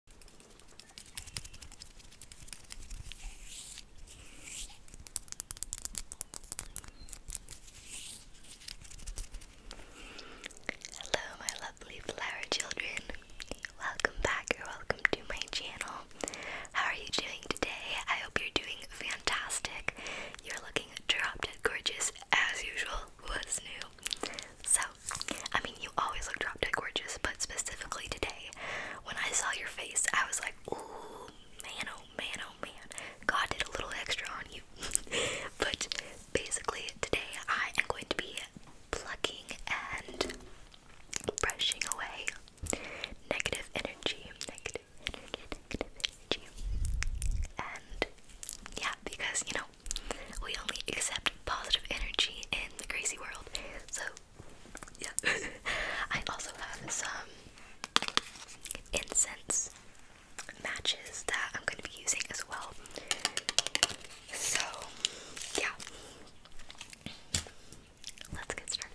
Hello, my lovely flower children. Welcome back or welcome to my channel. How are you doing today? I hope you're doing fantastic. You're looking dropped dead gorgeous as usual. What's new? So, I mean, you always look drop dead gorgeous, but specifically today, when I saw your face, I was like, ooh, man, oh man, oh man. God did a little extra on you. but basically, today I am going to be plucking and brushing away negative energy, negative negative energy. And yeah, because you know, we only accept positive energy in the crazy world. So, yeah. I also have some incense matches that I'm going to be using as well. So, yeah. Let's get started.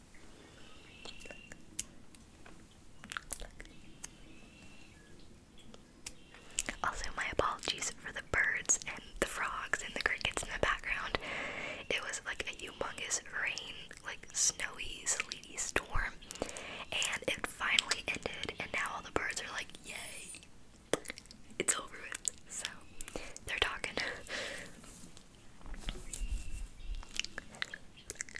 Also, my apologies for the birds and the frogs and the crickets in the background. It was like a humongous rain, like snowy, sleety storm, and it finally ended. And now all the birds are like, "Yay, it's over with!" So they're talking.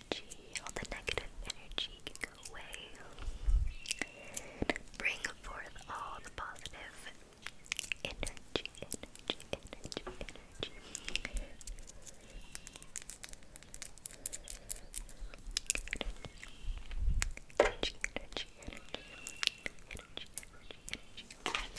energy, all the negative energy go away. Bring forth all the positive energy, energy, energy, energy. Energy, energy, energy, energy, energy, energy. We're gonna light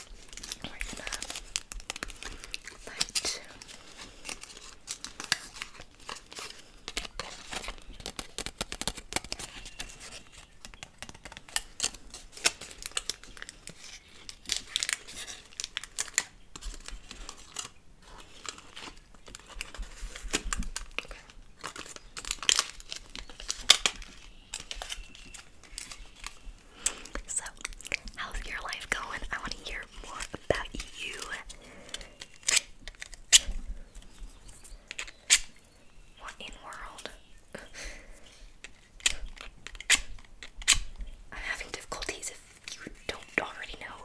so, how's your life going? I want to hear more about you. What in world? I'm having difficulties if you don't already know.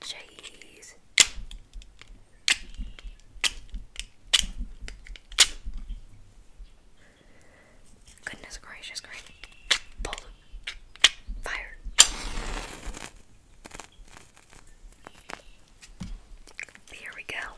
Jeez. Goodness gracious, great. Pull. Fire. Here we go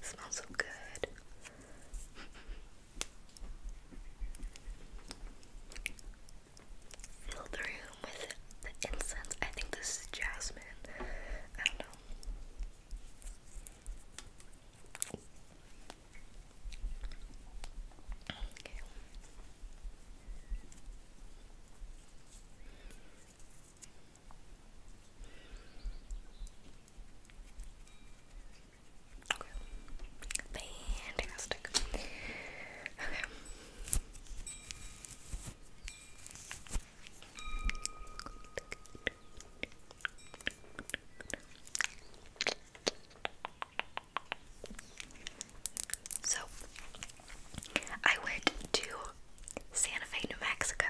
smells so good. Fill the room with the incense. I think this is jasmine. I don't know. Okay. Okay. Fantastic. Okay. So, I went to Santa Fe, New Mexico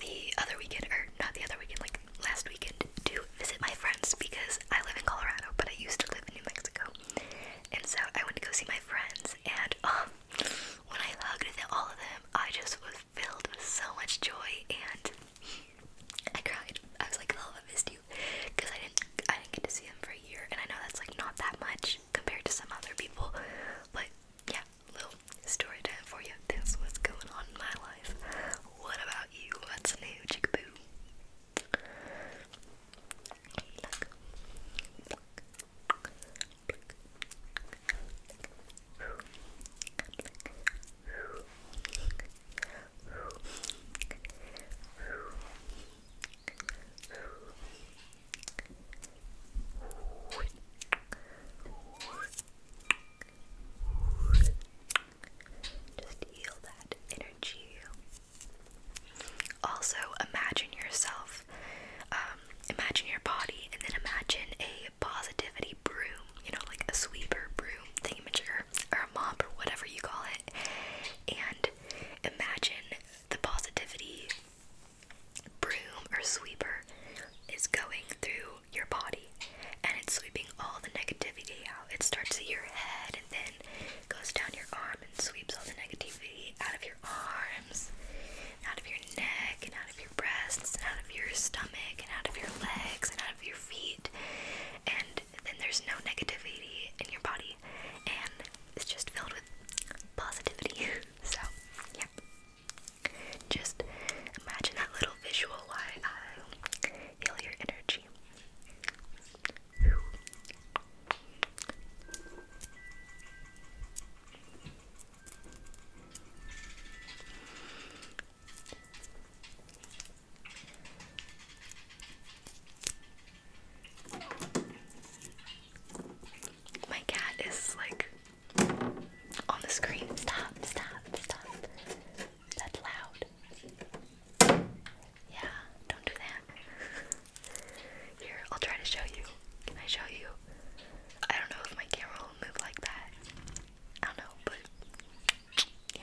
the other weekend, or not the other weekend, like last weekend, to visit my friends because I live in Colorado, but I used to live in New Mexico. And so I went to go see my friends, and um, when I hugged all of them, I just was filled with so much joy and I cried. I was like, oh, I missed you because I didn't I didn't get to see them for a year, and I know that's like not that much compared to some other people, but yeah, little story time for you. This was going on in my life. What about you? What's new, chickaboo? Look. Just heal that energy. Also, imagine yourself, um, imagine your body, and then imagine a positivity broom, you know, like a sweeper broom thingamajigger, or a mop, or whatever you call it. And imagine the positivity broom or sweeper is going through your body and it's sweeping all the negativity out. It starts at your head and then goes down your arm and sweeps all the negativity out of your arms, out of your neck, and out of your breasts, and out of your stomach, and out of your legs, and out of your feet. And good, then there's no negativity in your body and it's just filled with positivity. so, yeah. Just imagine that little visual why I heal your energy. My cat is like on the screen. Stop, stop, stop. That's loud. Yeah, don't do that. Here, I'll try to show you. Can I show you? I don't know if my camera will move like that. I don't know, but yeah.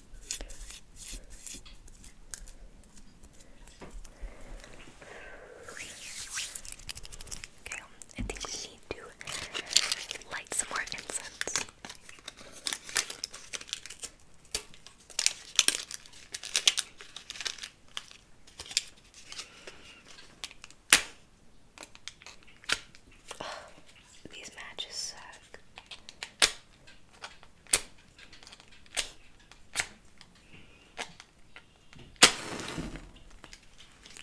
Okay, I think we need to light some more incense. These matches suck.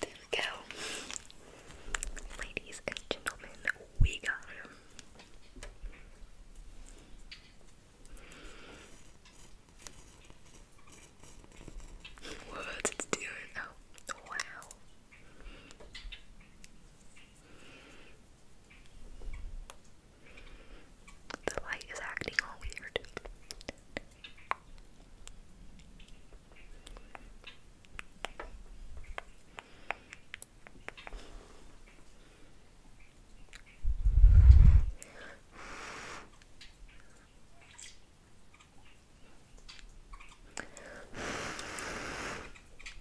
There we go. Ladies and gentlemen, we got him. What's it doing? Oh, wow. The light is acting all weird.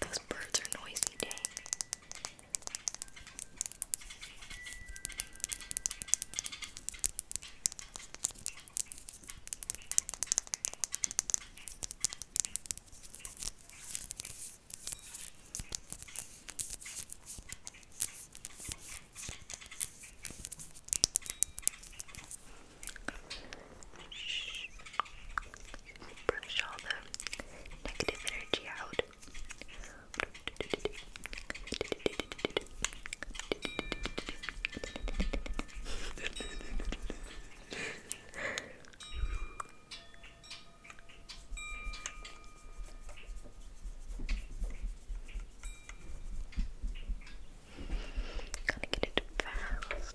Those birds are noisy, dang. Shh. Brush all the negative energy out. Gotta get it fast.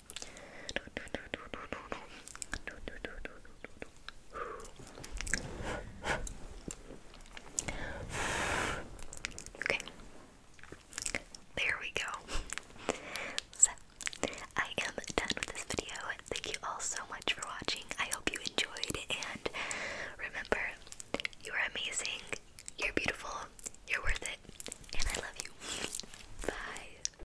Okay. There we go. So, I am done with this video. Thank you all so much for watching. I hope you enjoyed and remember, you are amazing, you're beautiful, you're worth it, and I love you. Bye.